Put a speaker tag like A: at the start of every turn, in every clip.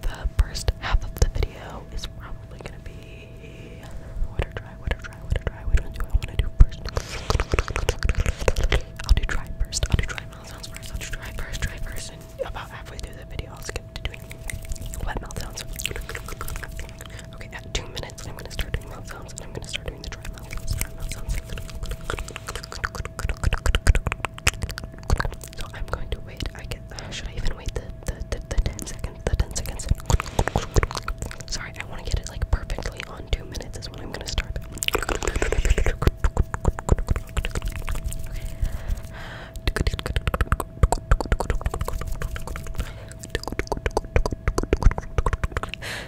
A: the first half of the video is probably gonna be what or try, what or try, what do I wanna do first. I'll do try first. I'll do try milestones first. I'll do try first, try first, and about halfway through the video I'll skip to doing wet mouth sounds. Okay, at two minutes I'm gonna start doing mouth sounds and I'm gonna start so I'm going to wait. Uh, should I even wait the the the, ten seconds? The ten seconds. Sorry, I want to get it like perfectly on two minutes. Is when I'm gonna start. Okay.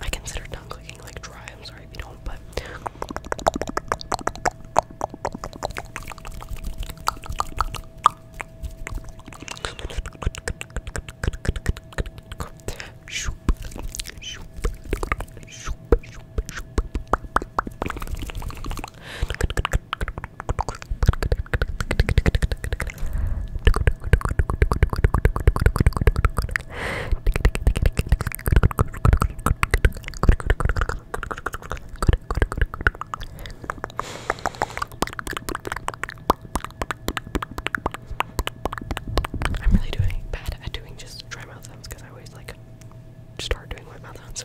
A: I consider not clicking like dry. I'm sorry if you don't, but I'm really doing bad at doing just dry mouth sounds because I always like start doing wet mouth sounds.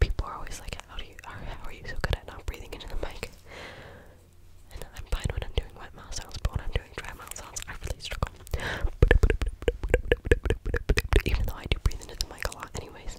A: People are always like, how do you, how, are you so good at not breathing into the mic? And I'm fine when I'm doing wet mouth sounds, but when I'm I really struggle. Even though I do breathe into the mic a lot, anyways.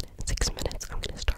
A: In six minutes, I'm gonna start.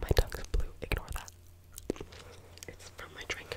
A: My tongue's blue, ignore that. It's from my drink.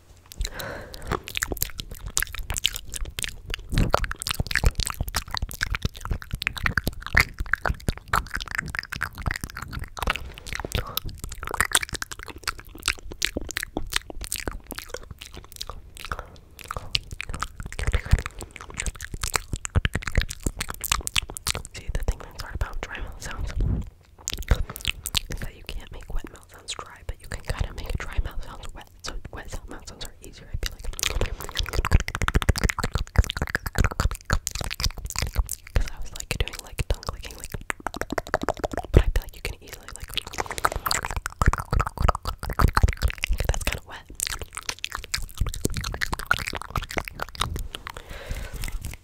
A: See, the thing that's hard about drywall sounds so you can't make wet mouth sounds dry, but you can kind of make a dry mouth sounds wet. So wet mouth sounds are easier. I feel like because I was like doing like tongue like. But I feel like you can easily like. That's kind of wet.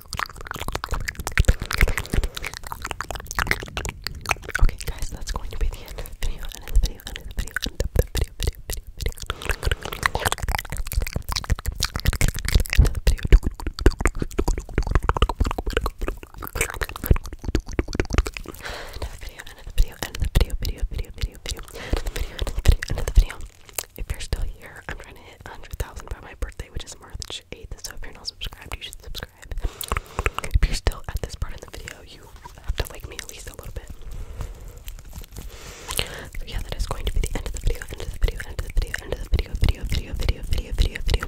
A: Okay, guys, that's going to be the end of the video, end of the video, end of the video, end of the video, video, video, video. End of the video. End of the video, end of the video, end of the video, video, video, video, video. End of the video, end of the video, end of the video if you're still here, I'm trying to hit 100,000 by my birthday, which is March 8th. So if you're not subscribed, you should subscribe. If you're still at this part of the video, you have to like me at least a little bit. So yeah, that is going to be the end of the video, end of the video, end of the video, end of the video, video, video, video, video, video, video.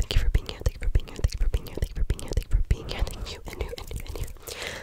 A: Thank you for being here, thank you for being here, thank you for being here, thank you for being here, thank you for being here, and you, and you, and you.